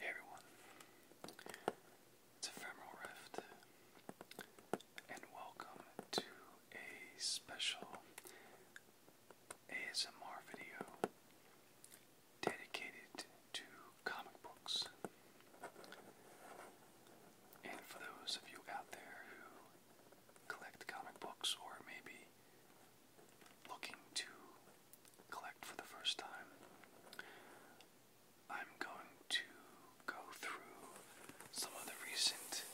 Hey everyone, it's Ephemeral Rift, and welcome to a special ASMR video dedicated to comic books. And for those of you out there who collect comic books or maybe looking to collect for the first time, I'm going to go through some of the recent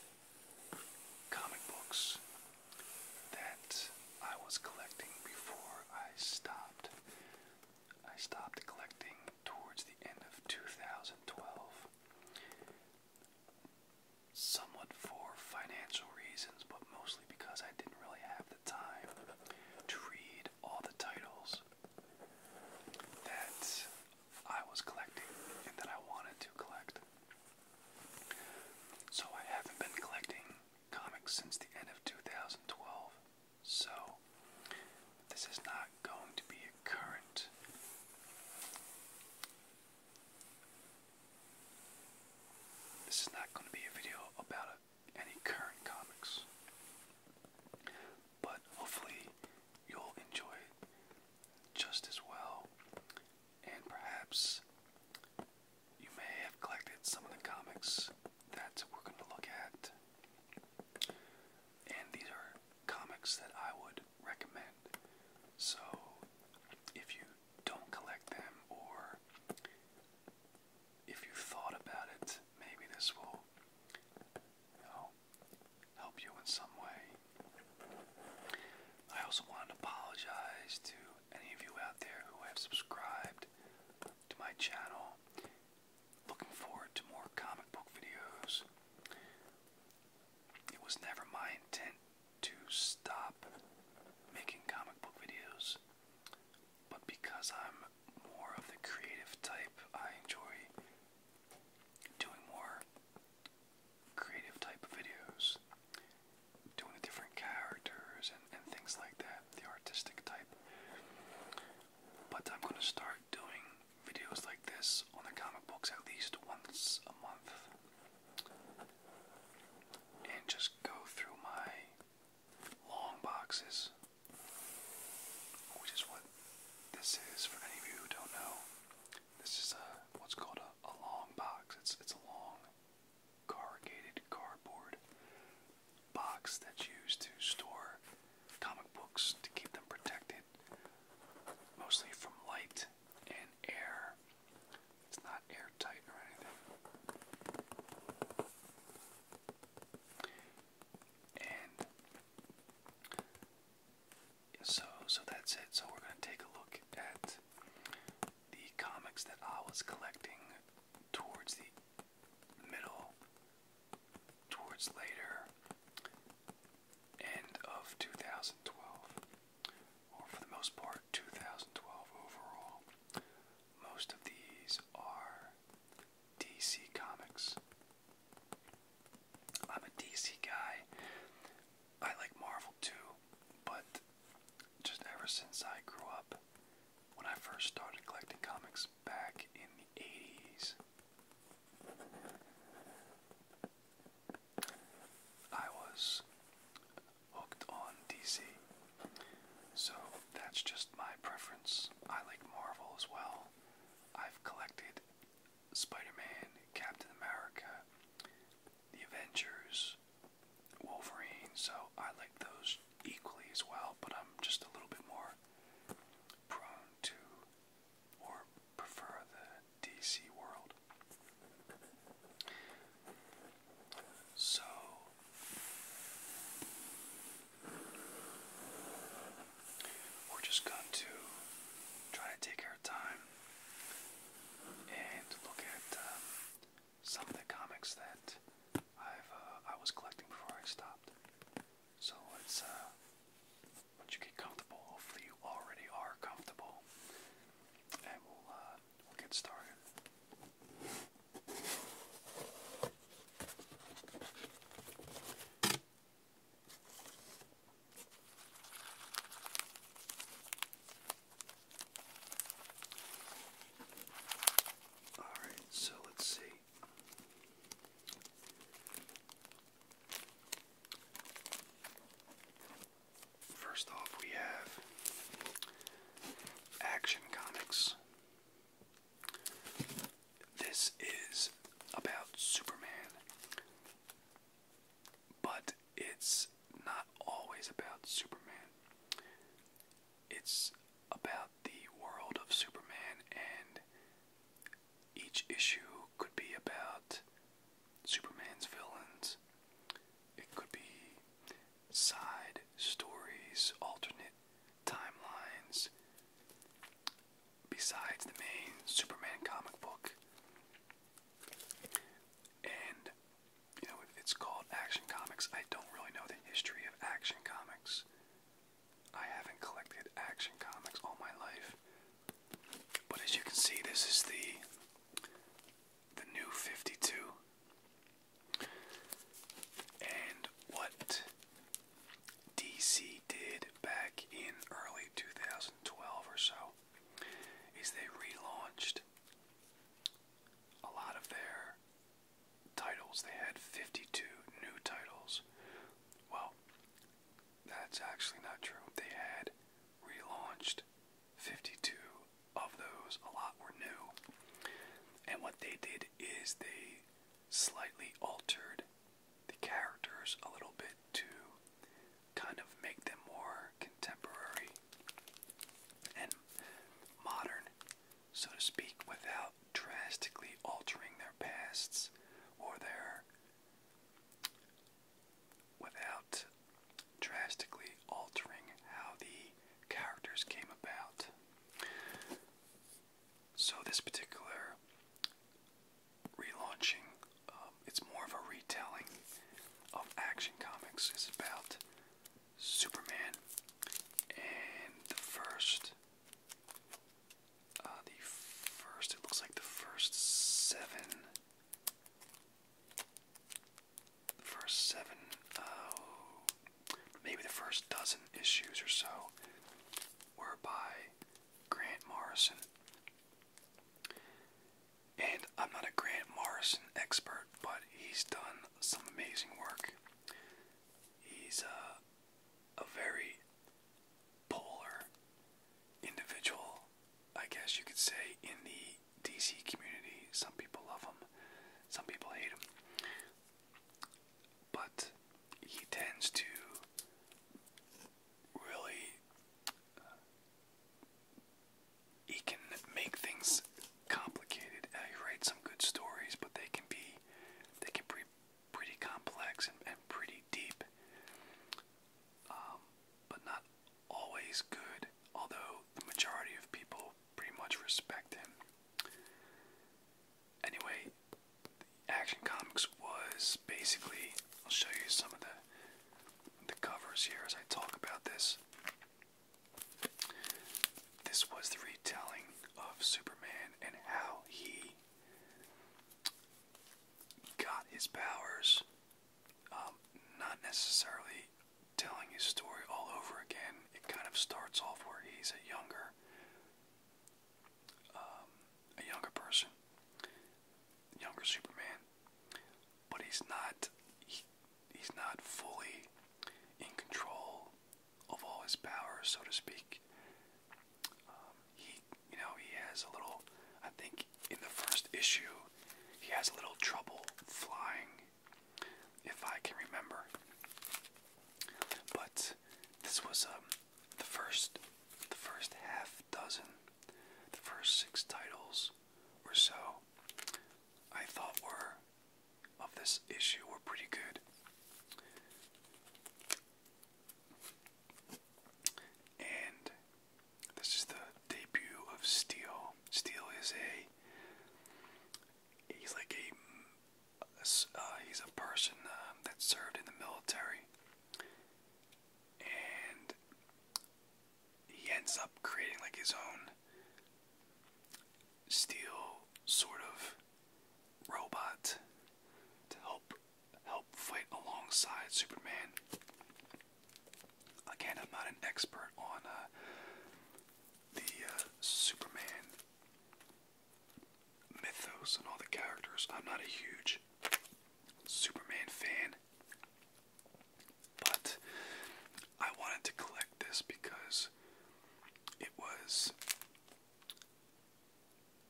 comic books that I was collecting before I stopped. I stopped collecting towards the end of 2012 somewhat for financial reasons, but mostly because I didn't really have the time to read all the titles that I was collecting and that I wanted to collect. So I haven't been collecting comics since the end of 2012. So this is not going to be a current this is not going to be a video about any current comics, but hopefully you'll enjoy it just as well, and perhaps you may have collected some of the comics that we're going to look at. And these are comics that I would recommend. So, if you don't collect them, or if you thought about it, maybe this will help you in some way. I also wanted to apologize to any of you out there who have subscribed to my channel. Looking forward to more comic book videos. It was never my intent to stop making comic book videos, but because I'm more of the creative type, I enjoy doing more creative type of videos, doing different characters and, and things like that, the artistic type. But I'm going to start doing videos like this on the comic books at least once a month and just go through my long boxes, which is what this is for any of you who don't know. This is a, what's called a, long box. It's, it's a long corrugated cardboard box that's used to store comic books to keep them protected mostly from light and air. It's not airtight or anything. And so so that's it. So we're gonna take a look at the comics that I was collecting towards the middle, towards later, end of 2012, or for the most part, 2012 overall. Most of these are DC Comics. I'm a DC guy. I like Marvel too, but just ever since I grew up, when I first started collecting comics back in the 80s, I was hooked on DC. So that's just my preference. I like Marvel as well. I've collected Spider Man, Captain America, The Avengers, Wolverine, so I like those equally as well, but I'm just a little bit more prone to or prefer the DC world. So we're just going to try to take our time and look at um, some of the comics that I've uh, I was collecting before I stopped. So once you uh, get comfortable, hopefully you already are comfortable, and we'll uh, we'll get started. All right, so let's see. First off, we have Action Comics. This is about Superman, but it's not always about Superman. It's about the world of Superman, and each issue could be about Superman's villains. It could be side stories, alternate timelines, besides the main Superman comic book. And, you know, it's called Action Comics. I don't really know the history of Action Comics. I haven't collected Action Comics all my life. But as you can see, this is the the new 52 and what DC did back in early 2012 or so is they relaunched a lot of their titles. They had 52 new titles. Well, that's actually not true. They had relaunched 52 of those, a lot were new. And what they did is they slightly altered the characters a little bit to kind of make them more contemporary and modern, so to speak, without drastically altering their pasts or their without drastically altering how the characters came about. So, this particular relaunching, um, it's more of a retelling of Action Comics. It's about Superman and the first. Uh, the first, it looks like the first seven the first seven, oh, maybe the first dozen issues or so were by Grant Morrison. And I'm not a Grant Morrison expert, but he's done some amazing work. He's uh, a very polar individual I guess you could say, in the DC community. Some people love him, some people hate him. But he tends to really. he can make things complicated. Uh, he writes some good stories, but they can be. They can be pretty complex and, pretty deep. Um, but not always good, although the majority of people pretty much respect him. Anyway, Action Comics was basically, I'll show you some of the the covers here as I talk about this. This was the retelling of Superman and how he got his powers, um, not necessarily telling his story all over again. It kind of starts off where he's a younger, um, a younger person, younger Superman, but he's not. he's not fully in control of all his powers, so to speak. Um, he, you know, he has a little. I think in the first issue, he has a little trouble flying if I can remember. But this was um, the first, the first half dozen, the first six titles or so, I thought were of this issue were pretty good. And this is the debut of Steel. Steel is a He's like a, uh, he's a person um, that served in the military, and he ends up creating like his own steel sort of robot to help help fight alongside Superman. Again, I'm not an expert on uh, the uh, Superman mythos and all the characters. I'm not a huge Superman fan, but I wanted to collect this because it was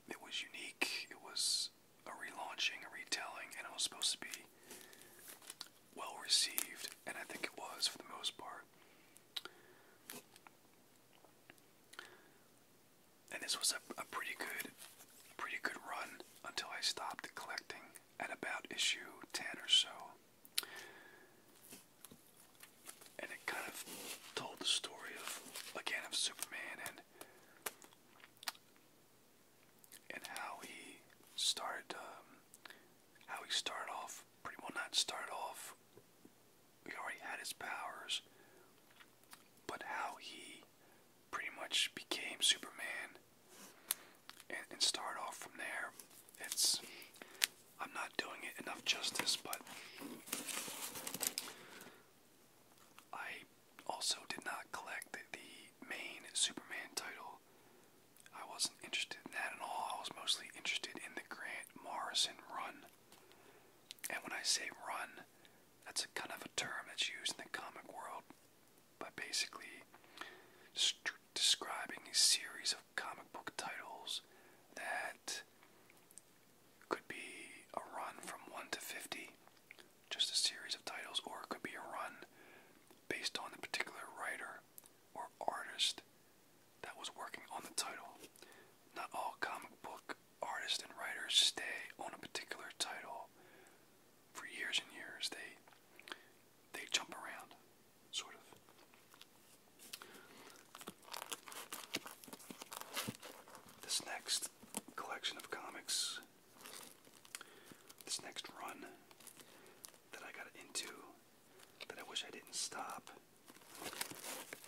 it was unique. It was a relaunching, a retelling, and it was supposed to be well received, and I think it was for the most part. And this was a, pretty good, pretty good run until I stopped collecting at about issue ten or so, and it kind of told the story of again of Superman and and how he started um, how he started off pretty well not started off he already had his powers but how he pretty much became Superman and, and start off from there it's I'm not doing it enough justice but I also did not collect the main Superman title I wasn't interested in that at all. I was mostly interested in the Grant Morrison run. And when I say run, that's a kind of a term that's used in the comic world, but basically describing a series of comic book titles that could be a run from 1 to 50, just a series of titles, or it could be a run based on the particular writer or artist that was working on the title. Not all comic book artists and writers stay on a particular title for years and years. They they jump around, sort of. This next collection of comics, this next run, that I got into that I wish I didn't stop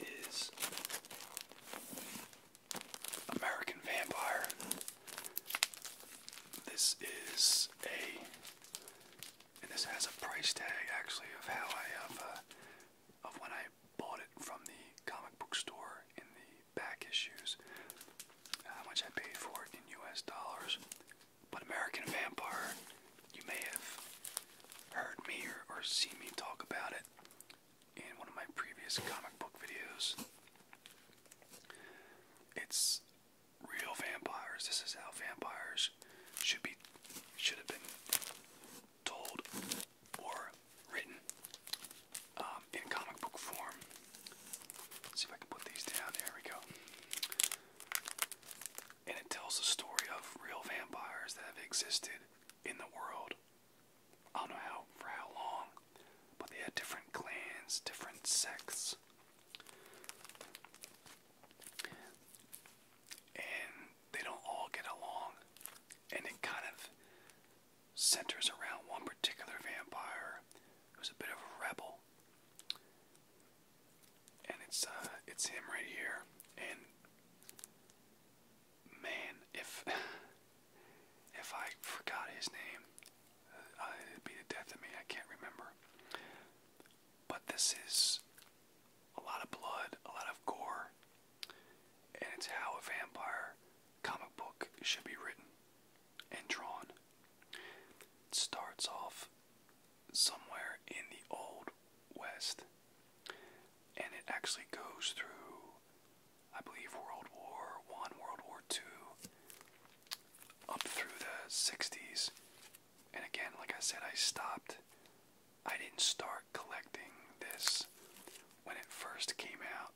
is American Vampire. This is a, and this has a price tag actually of how I have, uh, of when I bought it from the comic book store in the back issues, how much I paid for it in US dollars. But American Vampire, you may have heard me or, or seen me talk about it in one of my previous comic book videos. It's real vampires. This is how vampires should be should have been told or written um, in comic book form. Let's see if I can put these down. There we go. And it tells the story of real vampires that have existed in the world. I don't know how for how long, but they had different clans, different sects. And they don't all get along. And it kind of centers around one particular vampire who's a bit of a rebel and it's uh, it's him right here. And man, if if I forgot his name, uh, uh, it'd be the death of me. I can't remember. But this is a lot of blood, a lot of gore, and it's how a vampire comic book should be written and drawn. starts off somewhere in the Old West and it actually goes through, I believe, World War One, World War Two, up through the 60s. And again, like I said, I stopped. I didn't start collecting this when it first came out.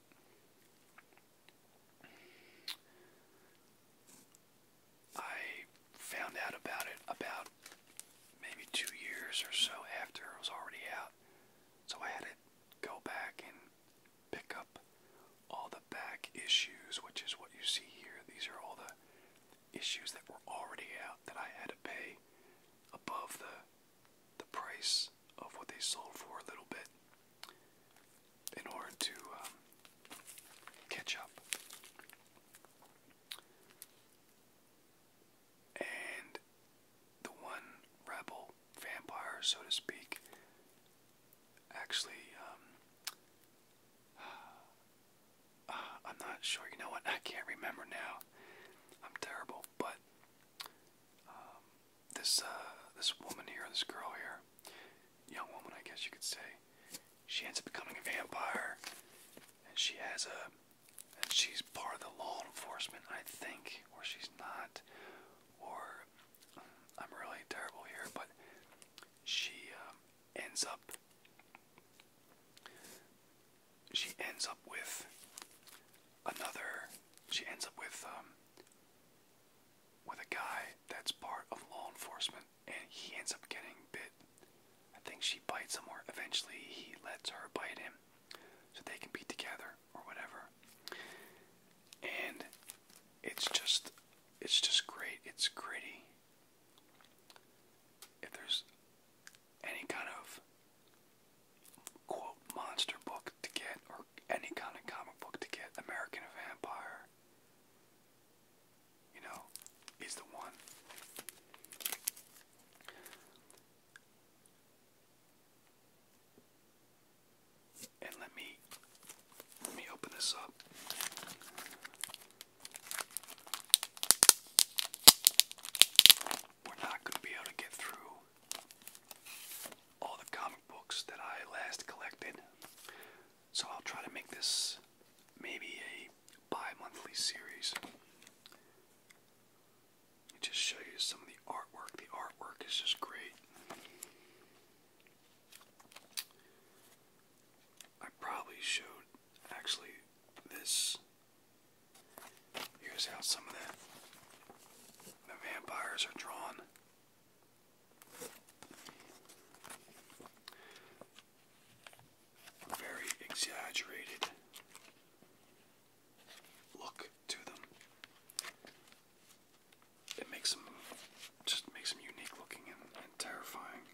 I found out about it about maybe two years or so after it was already out. So I had to go back and pick up all the back issues, which is what you see here. These are all the issues that were already out that I had to pay above the the price of what they sold for a little bit in order to um, catch up. And the one rebel vampire, so to speak, actually, um, uh, I'm not sure. You know what? I can't remember now. I'm terrible. But um, this uh, this woman here, this girl here, young woman, I guess you could say, she ends up becoming a vampire, and she has a, and she's part of the law enforcement, I think, or she's not, or mm, I'm really terrible here, but she um, ends up, she ends up with another, she ends up with um, with a guy that's part of law enforcement and he ends up getting bit. I think she bites him, or eventually he lets her bite him so they can be together or whatever. And it's just it's just great. It's gritty. If there's any kind of quote monster book to get or any kind of comic book to get, American Vampire you know, is the one. And let me let me open this up. We're not going to be able to get through all the comic books that I last collected. So I'll try to make this maybe a bi monthly series. Let me just show you some of the artwork. The artwork is just great. I probably showed actually this. Here's how some of the, the vampires are drawn very exaggerated look to them. It makes them just makes them unique looking and, terrifying.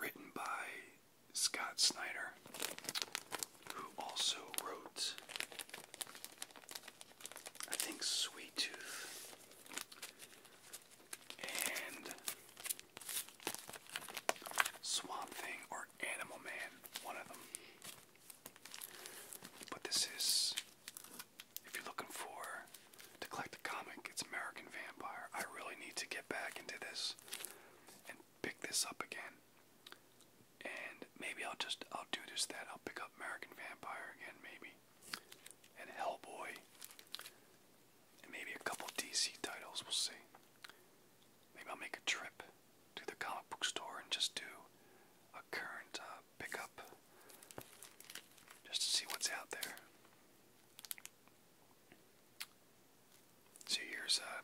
Written by Scott Snyder who also wrote, I think, Sweet Tooth and Swamp Thing or Animal Man, one of them. But this is, if you're looking for to collect a comic, it's American Vampire. I really need to get back into this and pick this up again. And maybe I'll just I'll do this, that. I'll pick up American Vampire again, maybe, and Hellboy, and maybe a couple DC titles. We'll see. Maybe I'll make a trip to the comic book store and just do a current uh, pick up, just to see what's out there. so here's uh,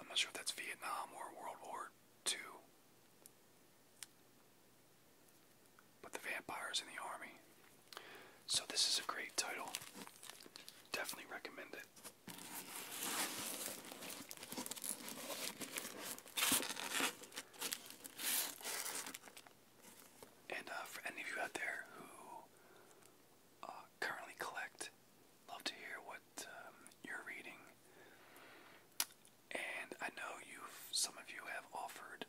I'm not sure if that's Vietnam or World War two. But the vampires in the army. So this is a great title. Definitely recommend it. And uh, for any of you out there who uh, currently collect Love to hear what um, you're reading. And I know you've, some of you have offered,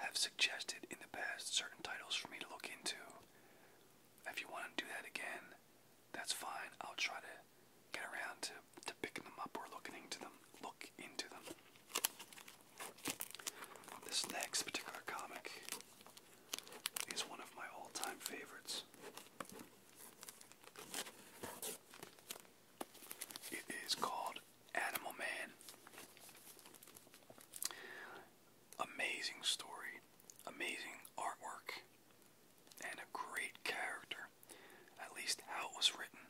have suggested in the past certain titles for me to look into. If you want to do that again, that's fine. I'll try to get around to, to picking them up or looking into them. Look into them. This next particular comic is one of my all-time favorites. It is called Animal Man. Amazing story, amazing artwork, and a great character. At least how it was written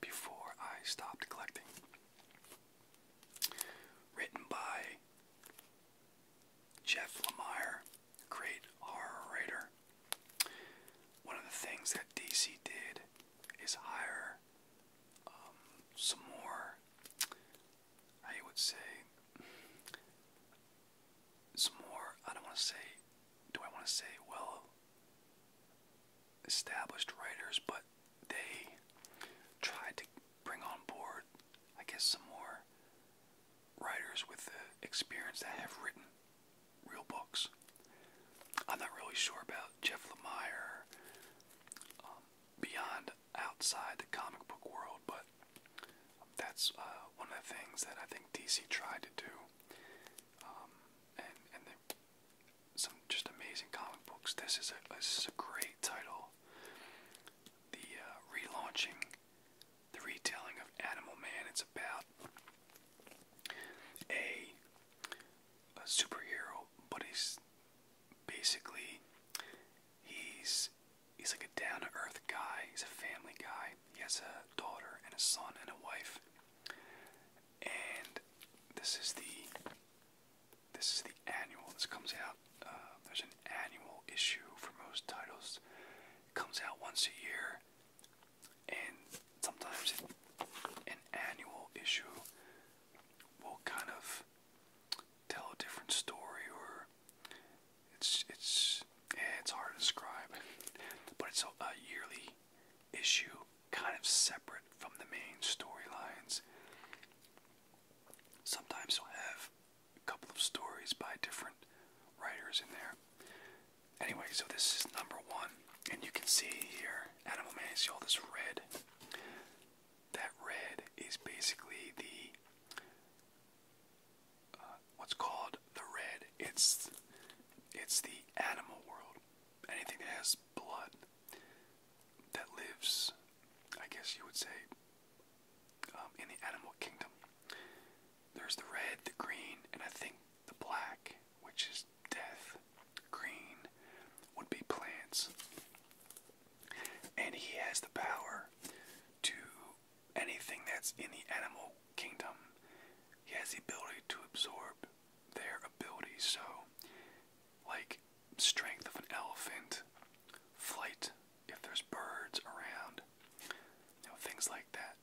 before I stopped collecting. Written by Jeff Lemire, great horror One of the things that DC did is hire um, some more, I would say, some more, I don't want to say, do I want to say, well, established writers, but they tried to bring on board, I guess, some more writers with the experience that have written real books. I'm not really sure about Jeff Lemire um, beyond outside the comic book world, but that's uh, one of the things that I think DC tried to do. Um, and some just amazing comic books. This is a, this is a great title. The uh, relaunching the retelling of Animal Man. It's about a, a superhero, but he's basically he's he's like a down to earth guy. He's a family guy. He has a daughter and a son and a wife. And this is the this is the annual. This comes out. Uh, there's an annual issue for most titles comes out once a year, and sometimes an annual issue will kind of tell a different story, or it's it's it's hard to describe, but it's a, yearly issue, kind of separate from the main storylines. Sometimes you'll have a couple of stories by different writers in there. Anyway, so this is number one, and you can see here, Animal Man, see all this red. That red is basically the uh, what's called the red. It's it's the animal world. Anything that has blood that lives, I guess you would say, um, in the animal kingdom. There's the red, the green, and I think the black, which is death. Green would be plants. And he has the power to anything that's in the animal kingdom. He has the ability to absorb their abilities. So, like strength of an elephant, flight if there's birds around, you know, things like that.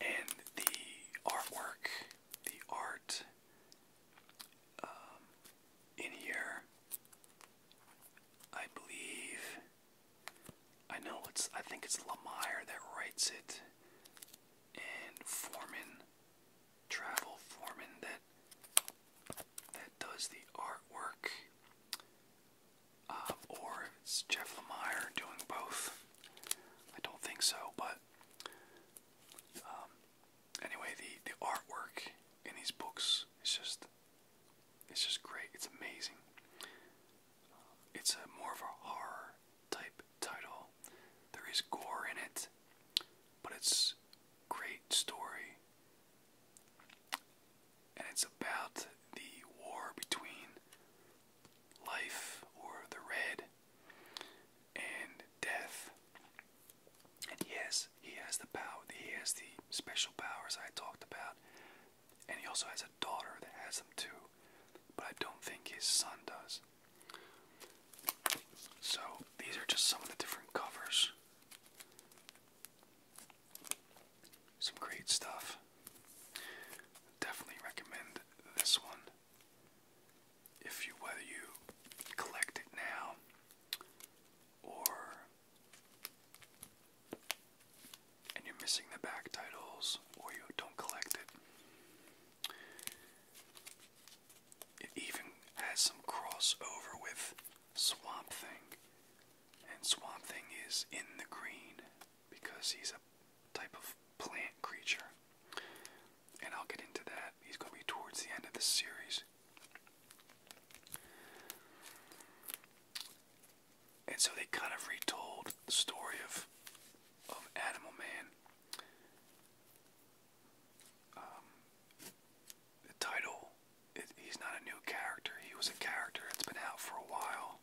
And the artwork, the art um, in here, I believe, I know it's, I think it's Lemire that writes it, and Foreman, Travel Foreman that that does the artwork. Uh, or it's Jeff Lemire doing both. I don't think so, but um, anyway, the the artwork in these books is just it's just great. It's amazing. it's a more of a horror type title. There is gore in it, but it's great story and it's about the war between life or the red and death. And yes, he has the power he has the special powers I talked about. And he also has a daughter that has them too. But I don't think his son does. So these are just some of the different covers. Some great stuff. Definitely recommend this one. If you whether you collect it now or and you're missing the back titles or you don't collect it. It even has some crossover with Swamp Thing, and Swamp Thing is in the green because he's a type of plant creature. And I'll get into that. He's going to be towards the end of the series. And so they kind of retold the story of of Animal Man. Um, he's not a new character. He was a character that's been out for a while,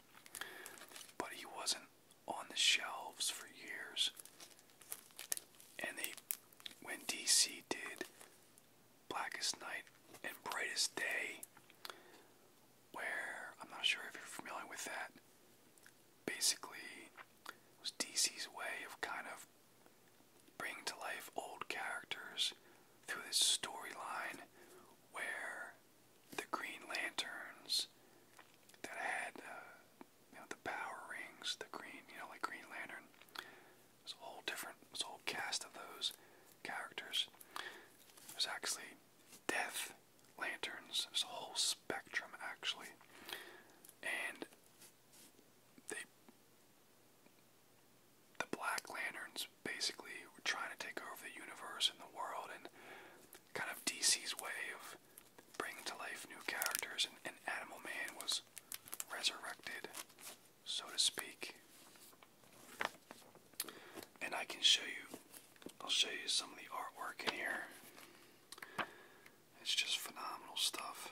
but he wasn't on the shelves for years. And they, when DC did Blackest Night and Brightest Day, where I'm not sure if you're familiar with that, basically it was DC's way of kind of bringing to life old characters through this storyline where the Green Lanterns that had uh, the power rings, the green you know like Green Lantern, there's a whole different, there's a whole cast of those characters. There's actually Death Lanterns. There's a whole spectrum actually, and they the Black Lanterns basically were trying to take over the universe and the world, and kind of DC's way of bringing to life new characters, and, Animal Man was resurrected, so to speak. And I can show you, I'll show you some of the artwork in here. It's just phenomenal stuff.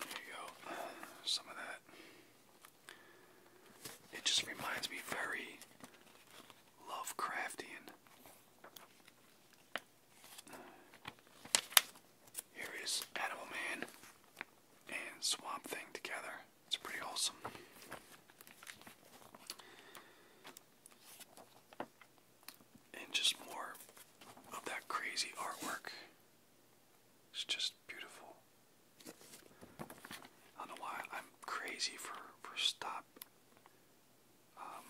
There you go, some of that. It just reminds me very Lovecraftian. Uh, here is Animal Man and Swamp Thing together. It's pretty wholesome. And just more of that crazy artwork. It's just beautiful. I don't know why I'm crazy for for stop. Um,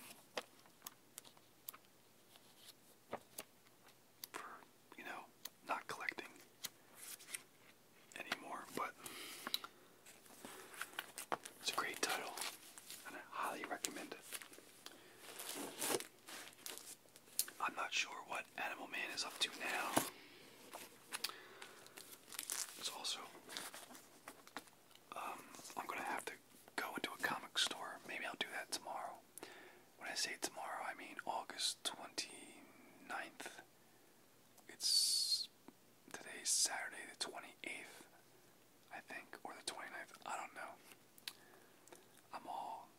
for you know, not collecting anymore, but it's a great title, and I highly recommend it. I'm not sure what Animal Man is up to now. It's also, um, I'm gonna have to go into a comic store. Maybe I'll do that tomorrow. When I say tomorrow, I mean August 29th. It's today's Saturday the 28th, I think, or the 29th. I don't know. I'm all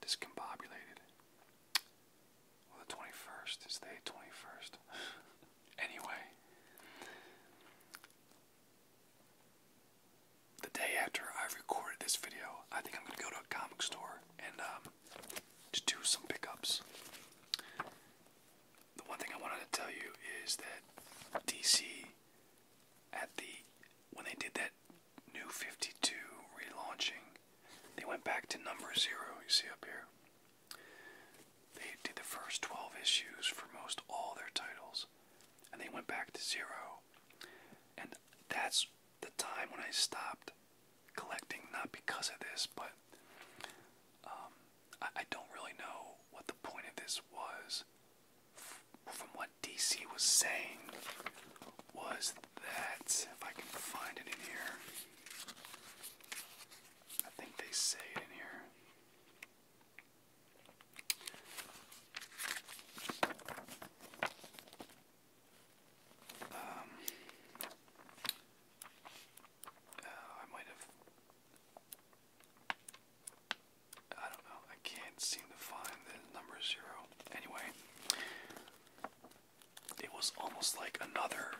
discombobulated. Well, the 21st is the 21st. anyway, the day after I recorded this video, I think I'm gonna go to a comic store and um, do some pickups. The one thing I wanted to tell you is that DC at the when they did that New 52 relaunching, they went back to number zero, you see up here. They did the first 12 issues for most all their titles, and they went back to zero. And that's the time when I stopped collecting, not because of this, but um, I don't really know what the point of this was. From what DC was saying, was that, if I can find it in here. I think they say it in here. Um, uh, I might have. I don't know. I can't seem to find the number zero. Anyway, it was almost like another.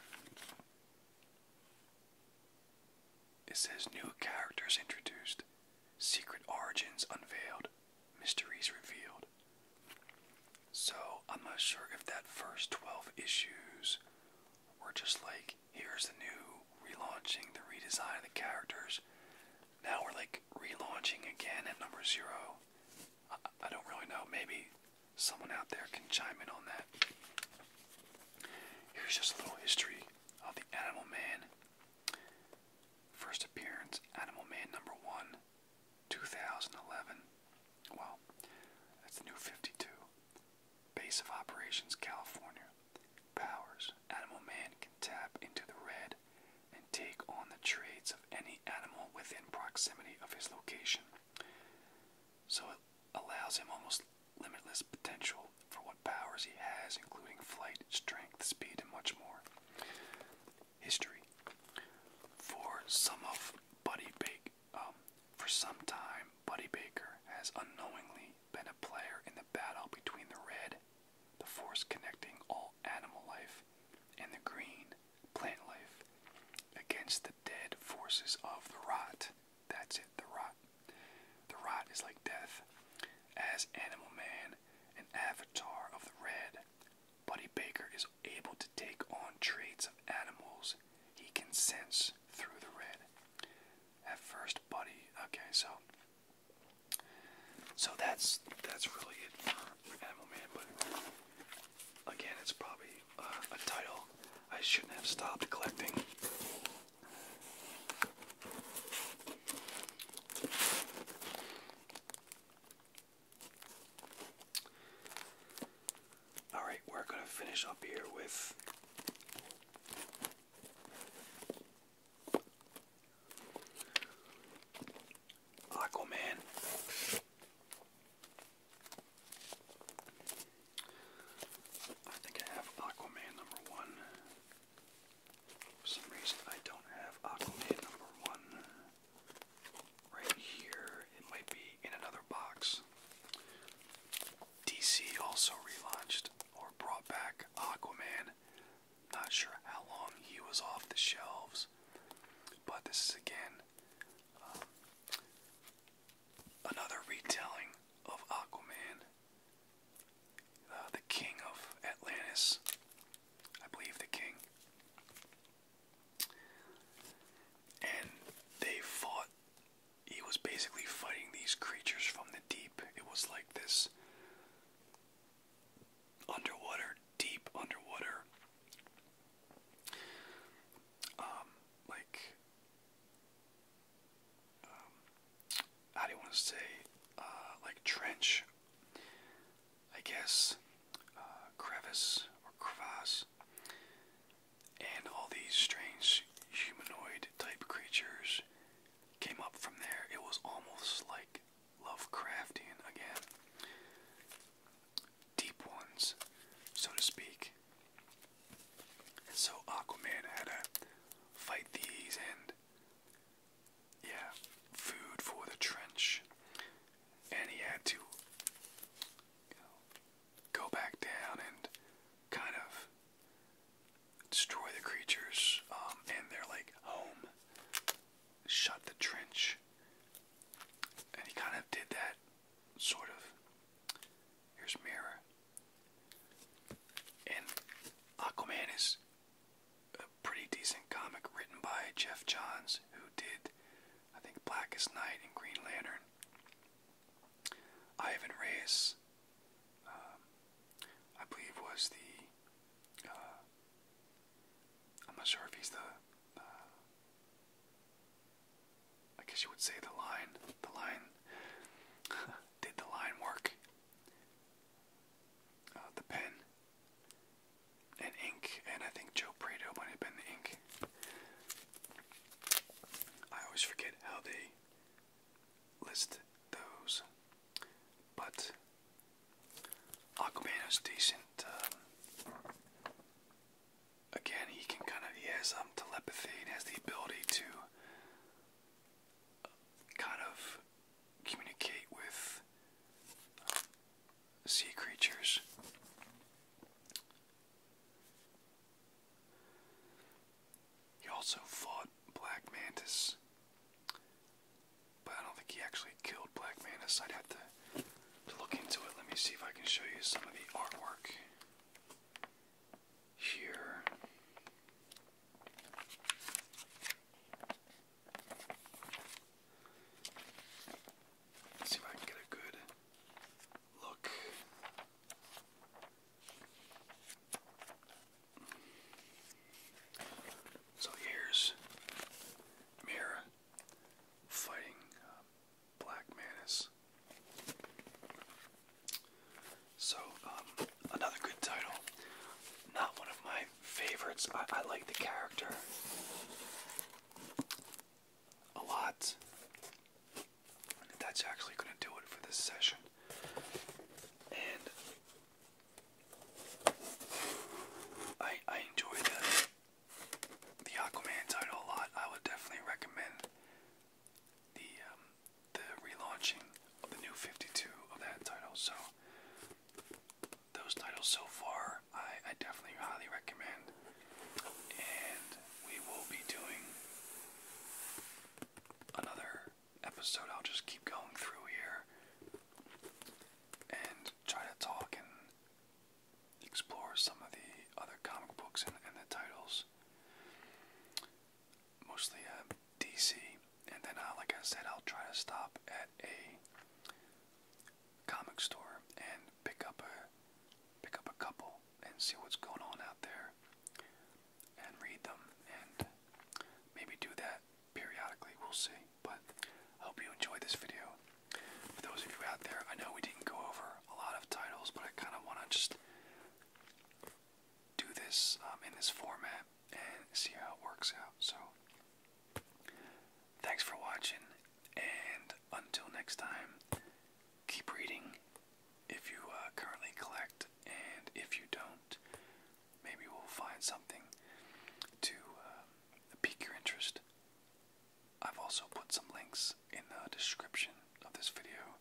It says new characters introduced, secret origins unveiled, mysteries revealed. So I'm not sure if that first 12 issues were just like, here's the new relaunching, the redesign of the characters. Now we're like relaunching again at number zero. I don't really know. Maybe someone out there can chime in on that. Here's just a little history of the Animal Man. First appearance, Animal Man number one, 2011. Well, that's new 52. Base of Operations, California. Powers. Animal Man can tap into the red and take on the traits of any animal within proximity of his location. So it allows him almost limitless potential for what powers he has, including flight, strength, speed, and much more. History. For some of Buddy Baker, um, for some time, Buddy Baker has unknowingly been a player in the battle between the red, the force connecting all animal life, and the green, plant life against the dead forces of the rot. That's it, the rot. The rot is like death. As Animal Man, an avatar of the red, Buddy Baker is able to take on traits of animals he can sense through the red. At first, Buddy. Okay, so so that's that's really it Animal Man, but again, it's probably uh, a title I shouldn't have stopped collecting. Alright, we're going to finish up here with. Aquaman. I think I have Aquaman number one. For some reason, I don't have Aquaman number one right here. It might be in another box. DC also relaunched or brought back Aquaman. Not sure how long he was off the shelves. But this is again um, another retelling of Aquaman, uh, the king of Atlantis, I believe the king. And they fought. He was basically fighting these creatures from the deep. It was like this underwater, deep underwater, um, like, um, do you want to say, uh, like trench, I guess, uh, crevice or crevasse, and all these strange humanoid type creatures came up from there. It was almost like Lovecraftian again deep ones, so to speak. And so Aquaman had to fight these and, yeah, food for the trench. And he had to go back down and kind of destroy the creatures um, and their, like, home shut the trench. And he kind of did that, sort of. Here's Mira. And Aquaman is a pretty decent comic written by Jeff Johns, who did, I think, Blackest Night and Green Lantern. Ivan Reyes, um, I believe, was the uh, I'm not sure if he's the. I guess you would say the line. The line. did the line work? Uh, the pen. And ink. And I think Joe Prado might have been the ink. I always forget how they list those. But. Aquaman decent. Um, again, he can kind of he has um, telepathy and has the ability to uh, kind of communicate with uh, sea creatures. He also fought Black Mantis, but I don't think he actually killed Black Mantis. I'd have to to look into it. Let me see if I can show you some of the artwork here. see if I can get a good look. So here's Mira fighting uh, Black Manus. So, um, another good title. Not one of my favorites. I, like the character a lot. That's actually going to do it for this session. And I, I enjoy the the Aquaman title a lot. I would definitely recommend the um, the relaunching of the new 52 of that title. So those titles so far, I, I definitely highly recommend. And we will be doing another episode. I'll just keep going through here and try to talk and explore some of the other comic books and, and the titles, mostly uh, DC. And then, uh, like I said, I'll try to stop at a comic store and pick up a pick up a couple and see what's going on out there and read them and maybe do that periodically. We'll see. But I hope you enjoyed this video. For those of you out there, I know we didn't go over a lot of titles, but I kind of want to just do this um, in this format and see how it works out. So, thanks for watching, and until next time, keep reading if you uh, currently collect, and if you don't, maybe we'll find something to uh, pique your interest. I've also put some links in the description of this video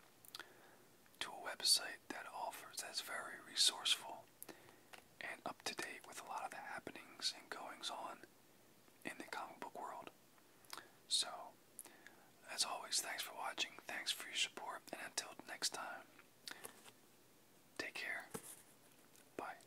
to a website that offers that's very resourceful and up to date with a lot of the happenings and goings on in the comic book world. So, as always, thanks for watching, thanks for your support, and until next time, take care. Bye.